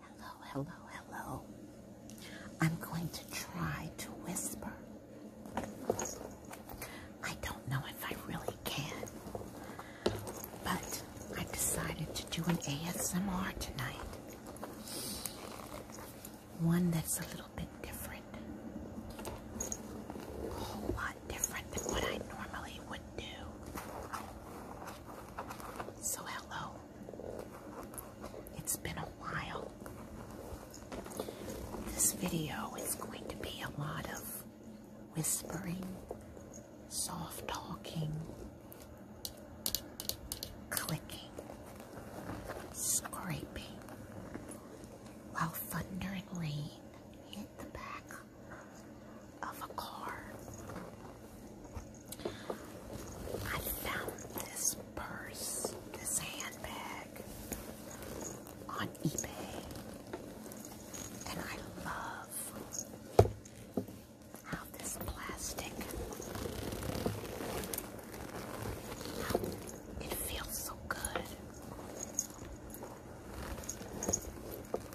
Hello, hello, hello. I'm going to try to whisper. I don't know if I really can, but I decided to do an ASMR tonight. One that's a little bit different. A whole lot different than what I normally would do. So hello. It's been a while. This video is going to be a lot of whispering, soft talking, clicking, scraping, while thunder and rain hit the back of a car. I found this purse, this handbag on eBay, and I love how this plastic, it feels so good.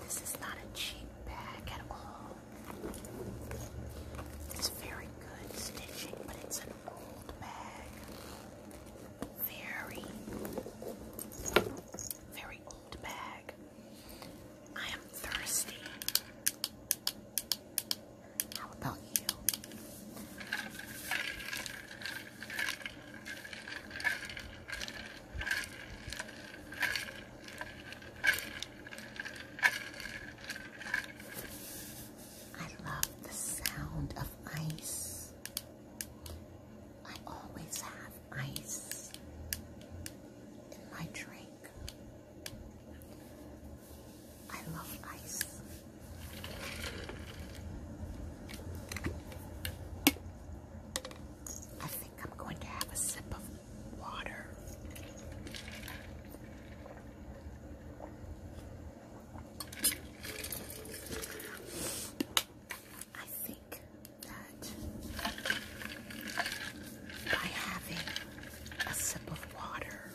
This is not a cheap bag at all. It's very good stitching, but it's an old bag. Very, very old bag. I am thirsty. How about you? I love the sound of ice. I always have ice in my drink. I love ice. I think I'm going to have a sip of water. I think that by having a sip of water,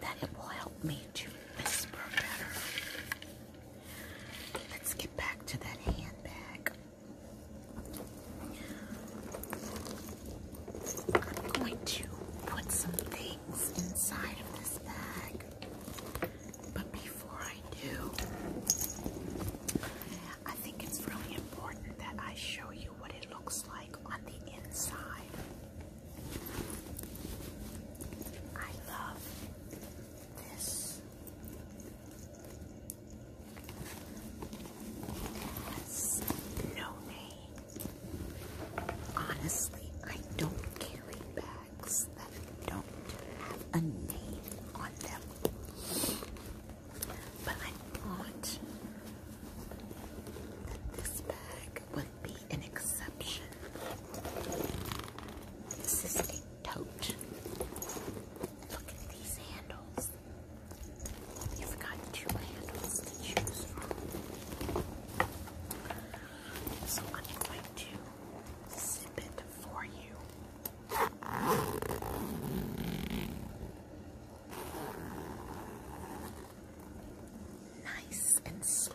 that it will help me to whisper better. Let's get back to that handbag. I'm going to put some things inside of this bag, but before I do, I think it's really important that I show you what it looks like on the inside. I love this Yes. No name. Honestly, I don't carry bags that don't have a name on them. But I thought that this bag would be an exception. This tote. Look at these handles. You've got two handles to choose from. So I'm going to zip it for you. Nice and slow.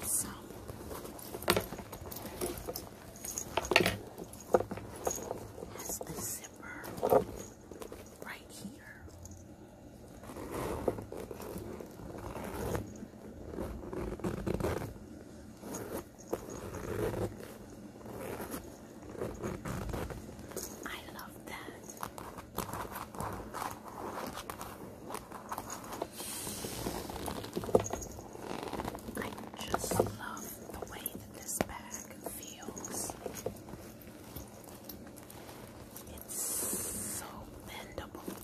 Also, has the zipper right here. I love that. I just love the way that this bag feels. It's so bendable.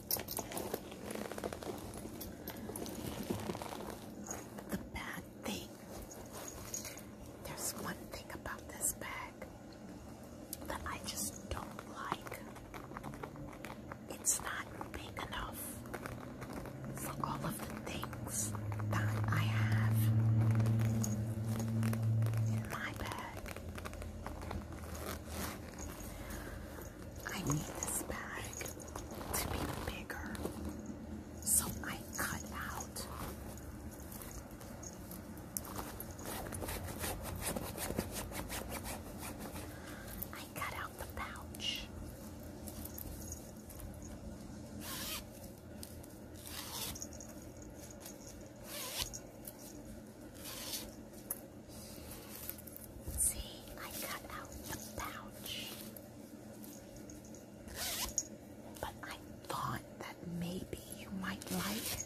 The bad thing, there's one thing about this bag that I just don't like. It's not big enough for all of the things that I have in my bag. I need this bag to be bigger. So I cut out I cut out the pouch. See, I cut out the pouch. But I thought that maybe you might like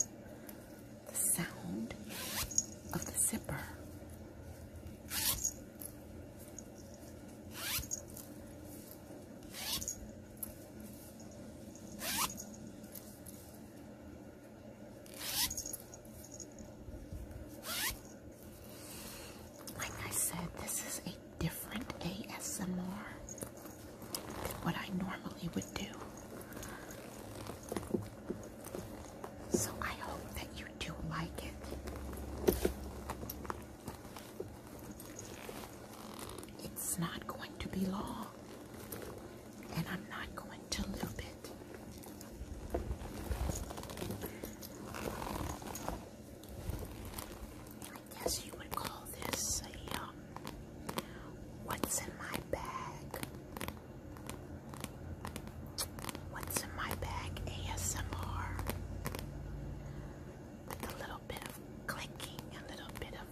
the sound of the zipper. Like I said, this is a different ASMR than what I normally would do. So I hope that you do like it. It's not going to be long, and I'm not going to loop it. I guess you would call this a um, what's in my bag? What's in my bag ASMR with a little bit of clicking, a little bit of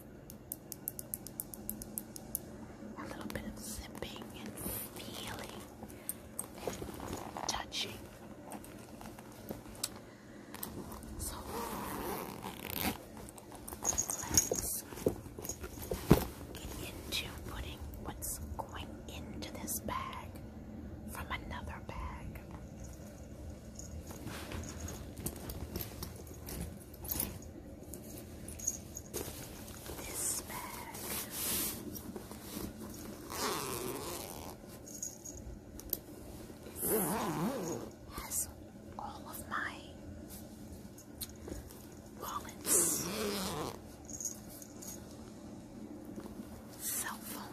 a little bit of zipping and feeling and touching. So let's get into putting what's going into this bag from another bag this bag has all of my wallets, cell phone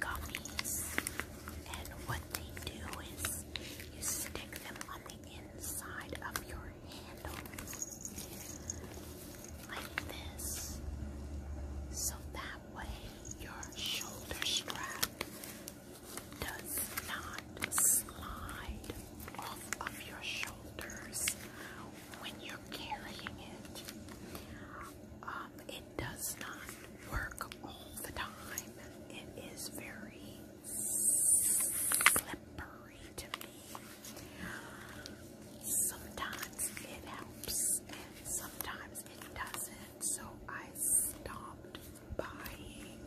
gummies. And what they do is you stick them on the inside of your handle like this. So that way your shoulder strap does not slide off of your shoulders when you're carrying it. Um, it does not work all the time. It is very slippery to me. Sometimes it helps, and sometimes it doesn't. So I stopped buying.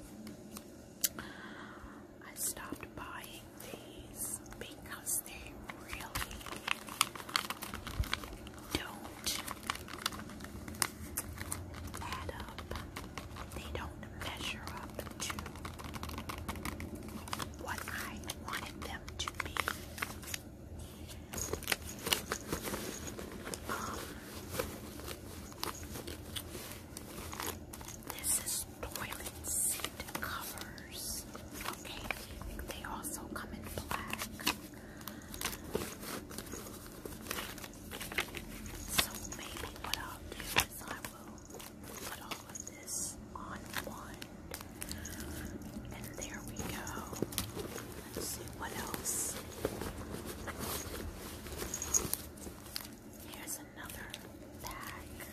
I stopped buying these because they really don't add up. They don't measure up to what I wanted them to be. Um, this is toilet seat cover colors. Okay, they also come in black. So maybe what I'll do is I will put all of this on one. And there we go. Let's see what else. Here's another bag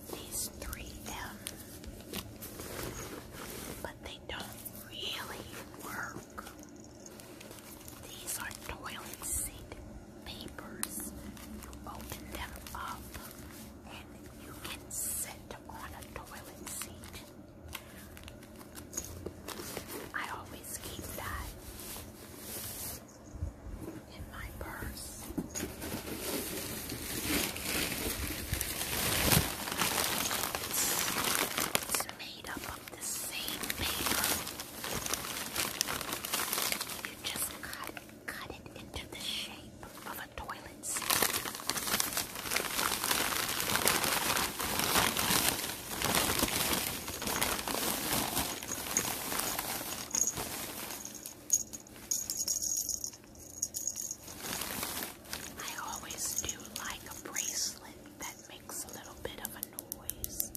of these 3 but they don't really work. These are toilet seat papers. You open them up and you can sit on a toilet seat. I always keep that in my purse. It's, made up of the same paper. You just cut, cut it into the shape of a toilet seat. I always do like a bracelet that makes a little bit of a noise.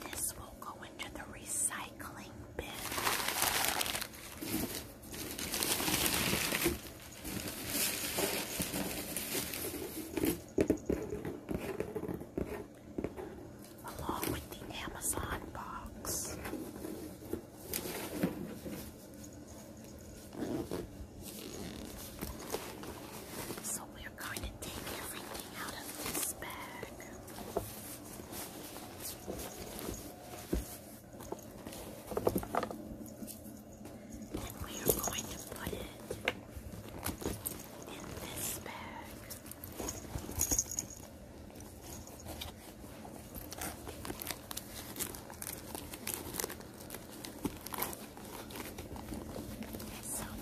This will go into the recycling bin along with the Amazon box. So we're going to take everything out of this bag. And we are going to put it in this bag. So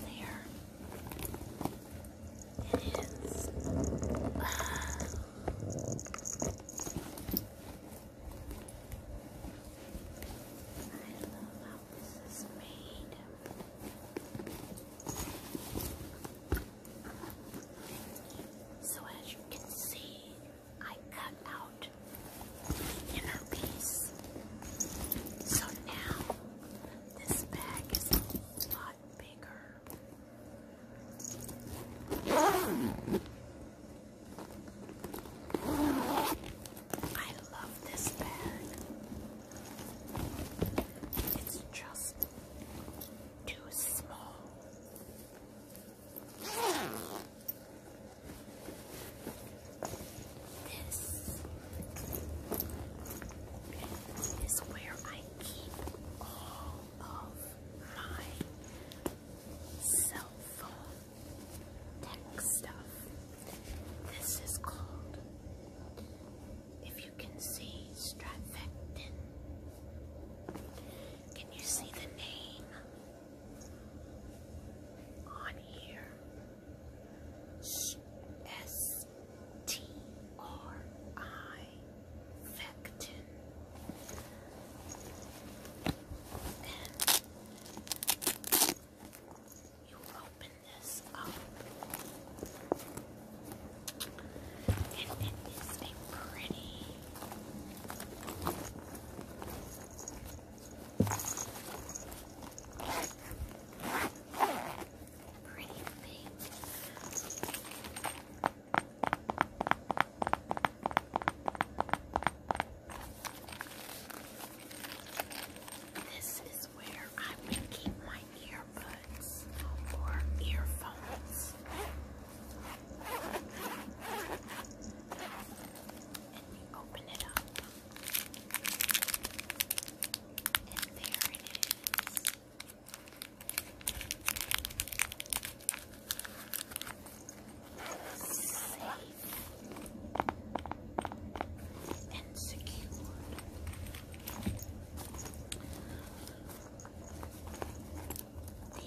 there it is. I love how this is made. So as you can see, I cut out the inner piece. So now this bag is a lot bigger. I love this bag. It's just too small. This is where I keep all of my cell phone tech stuff. This is called, you can see Stratfecton. Can you see the name on here? S T R I this up. And it is a pretty pretty pink. This is is where I would keep my earbuds or earphones. And you open it up. And there it is. Safe and secured.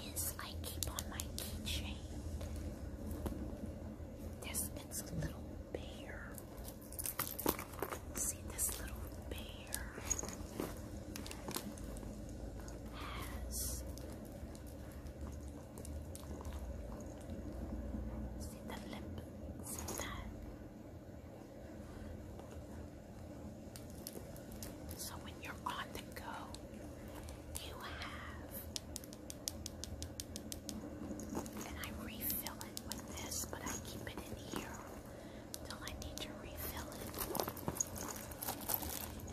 This I keep on my keychain. This a little bear. See this little bear has see the lip. See that? So when you're on the go, you have, and I refill it with this, but I keep it in here till I need to refill it.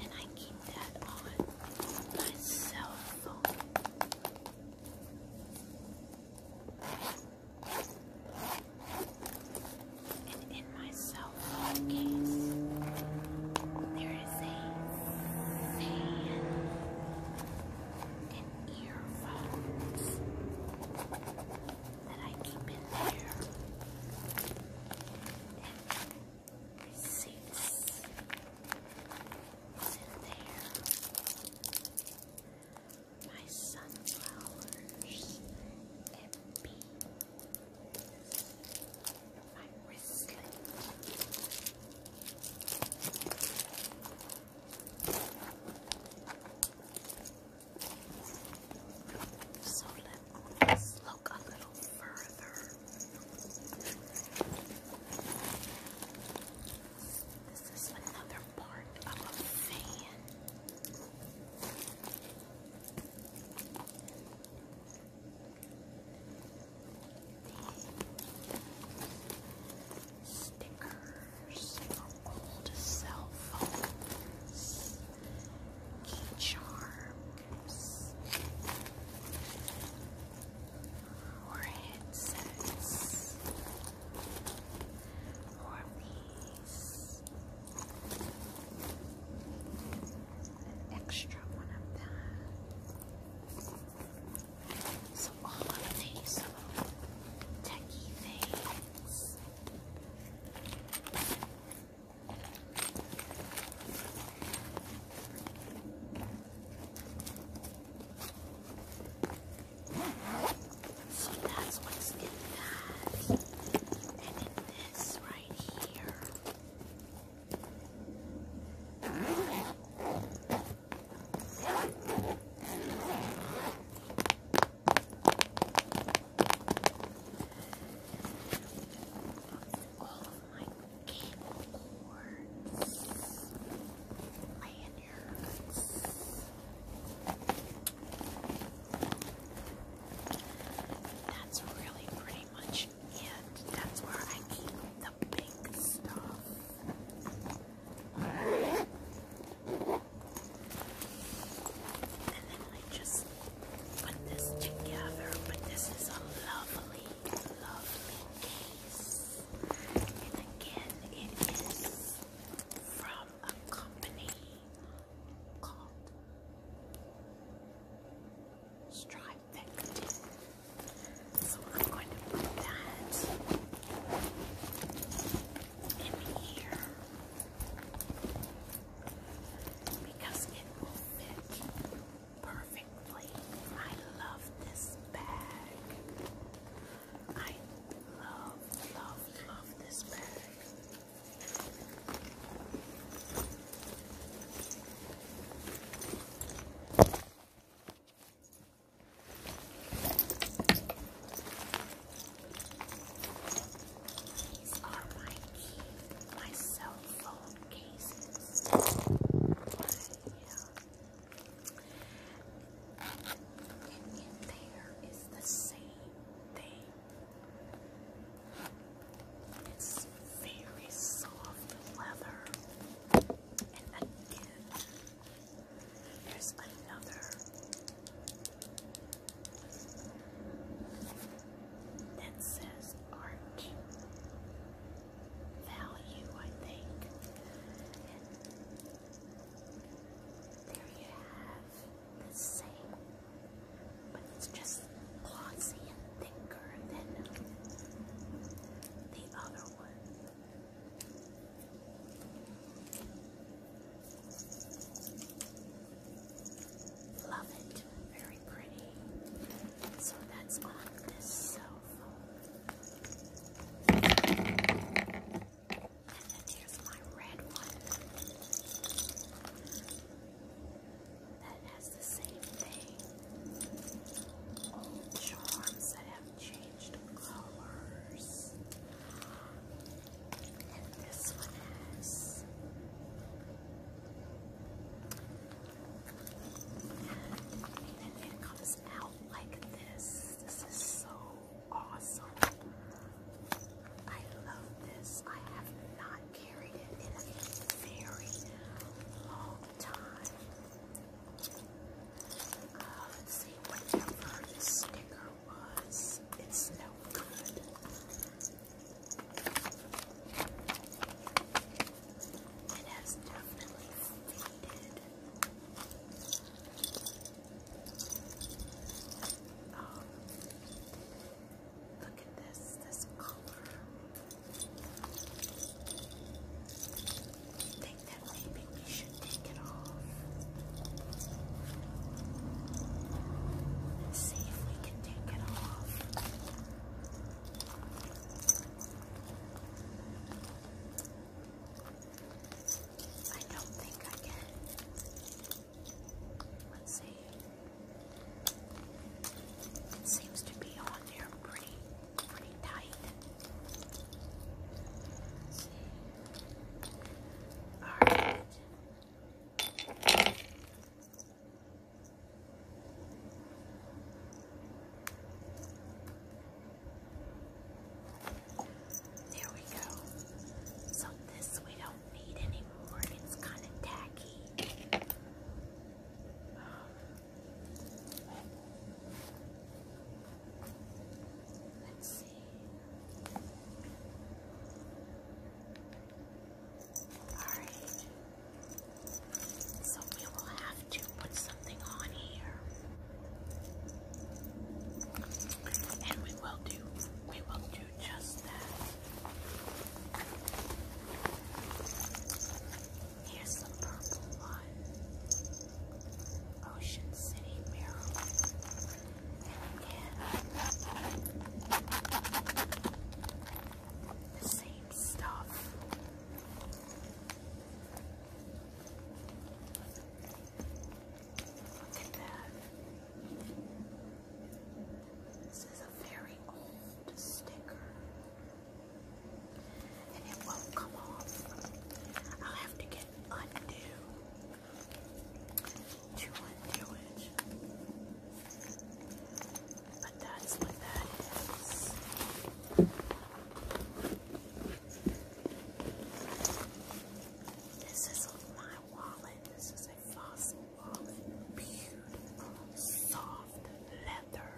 And I keep that on my cell phone. And in my cell phone case, there is a fan and earphones that I keep in there. And receipts is in there my sunflowers and bees, my wristlet. So let's look a little further. This is another part of a fan. stickers old cell phones, key charms, headsets. Four piece. An extra one of that. So all of these little techie things. I so that's what's in that. And in this right here. All of my cable cords laying that's really pretty much it. That's where I keep the big stuff. And then I just put this together, but this is a lovely, lovely case. And again, it is from a company called Stripe So I'm going to put that in here because it will fit perfectly. I love this bag. I love, love, love this bag. These are my key, my cell phone cases. My, and in there is the same thing. It's very soft leather. And again, there's another. That says art value, I think. There you have the same, but it's just glossy and thicker than the other one. Love it. Very pretty. So that's on this cell phone. And then here's my red one that has the same thing. Old charms that have changed colors. And this one has and then it comes out like this. This is so awesome. I love this. I have not carried it in a very long time. Uh, let's see, whatever the sticker was, it's no good. It has definitely faded. Um, look at this, this color. I think that maybe we should take it off. Let's see if we can take it off. I don't think I can. Let's see. It seems to be on there pretty, pretty tight. All right. There we go. So this we don't need anymore. It's kind of tacky. let's see. Alright. So we will have to put something on here. And we will do, we will do just that. Here's the purple one. Ocean City, Maryland. again, the same stuff. Look at that. This is a very old sticker. And it won't come off. I'll have to get undo to undo it. But that's what that is. This is my wallet. This is a fossil wallet. Beautiful, soft leather.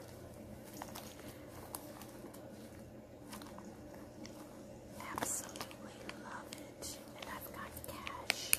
Absolutely love it. And I've got cash.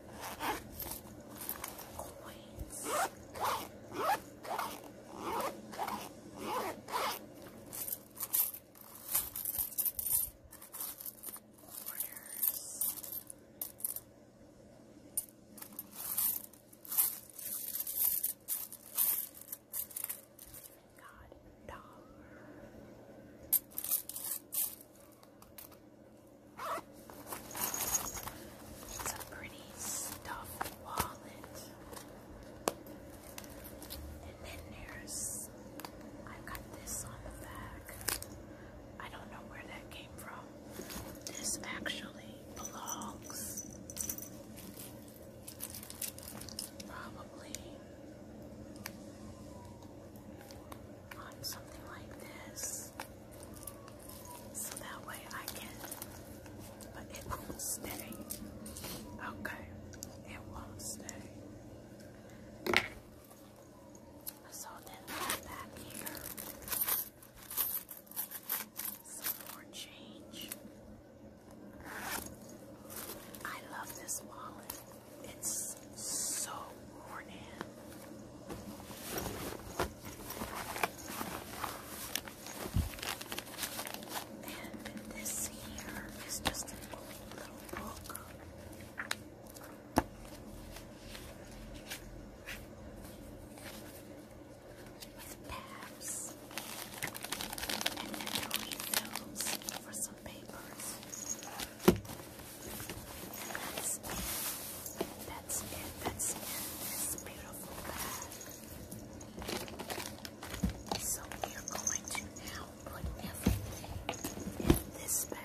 coins. Quarters. God, dollar. It's a pretty stuffed wallet. And then there's, i got this on the back. I don't know where that came from. This actually belongs probably on something like this. So that way I can, but it won't stay. Okay, it won't stay. So then I'm back here. Some more change. I love this wallet. It's so worn and this here is just a little book. With tabs and then refills for some papers that's it. That's in this beautiful bag. So we are going to now put everything in this bag.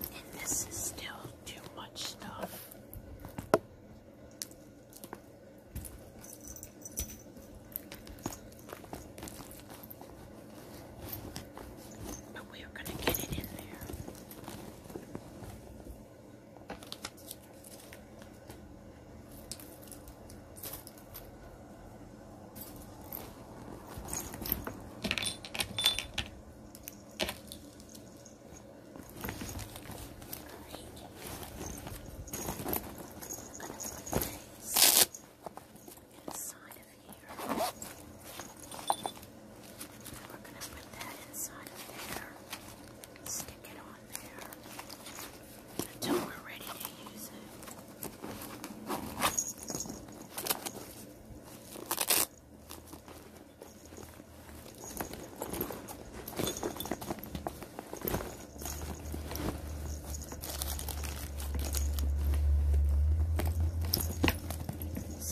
And this is still too much stuff. But we are going to get it in there. Right. I'm going to put these inside of here. And we're going to put that inside of there. Stick it on there until we're ready to use it. So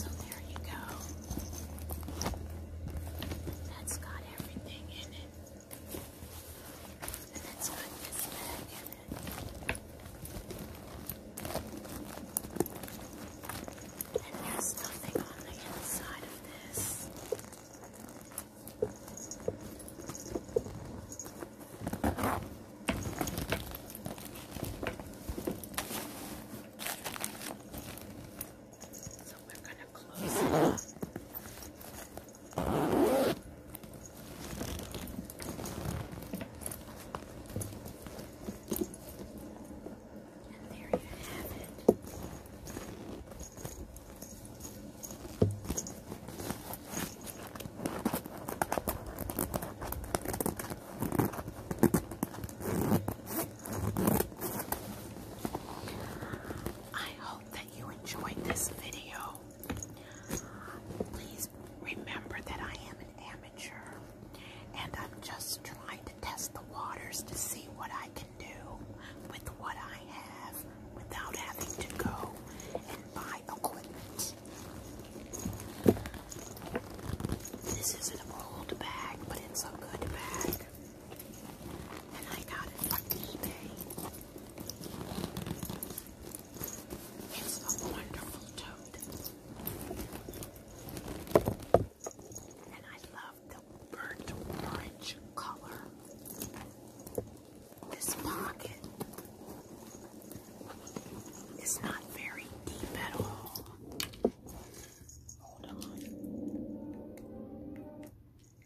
there you go. That's got everything in it. And it's got this bag in it. And there's nothing on the inside of this. So we're going to close it up. And there you have it. I hope that you enjoyed this video. Please remember that I am an amateur and I'm just trying to test the waters to see what I can do with what I have without having to go and buy equipment. This is an old bag, but it's a good bag. And I got it from It's a wonderful toad, And I love the burnt orange color. This pocket is not very deep at all. Hold on.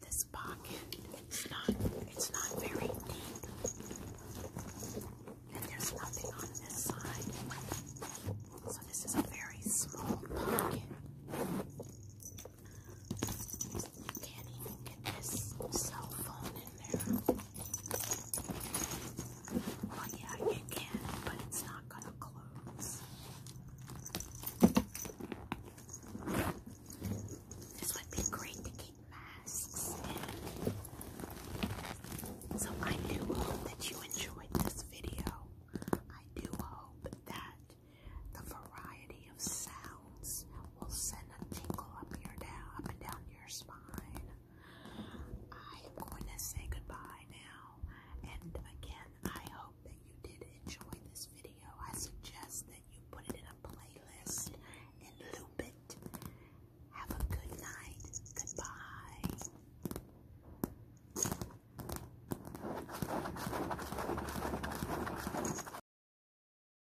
This pocket its not it's not very deep. And there's nothing on this side. So this is a very small pocket you can't even get this cell phone in there. Well, yeah, you can, but it's not gonna close. This would be great to keep masks in. So I do hope that you enjoyed this video. I do hope that the variety of sounds sounds will send a jingle up your down up and down your spine. I am going to say goodbye now. And again, I hope that you did enjoy this video. I suggest that you put it in a playlist and loop it. Have a good night. Goodbye.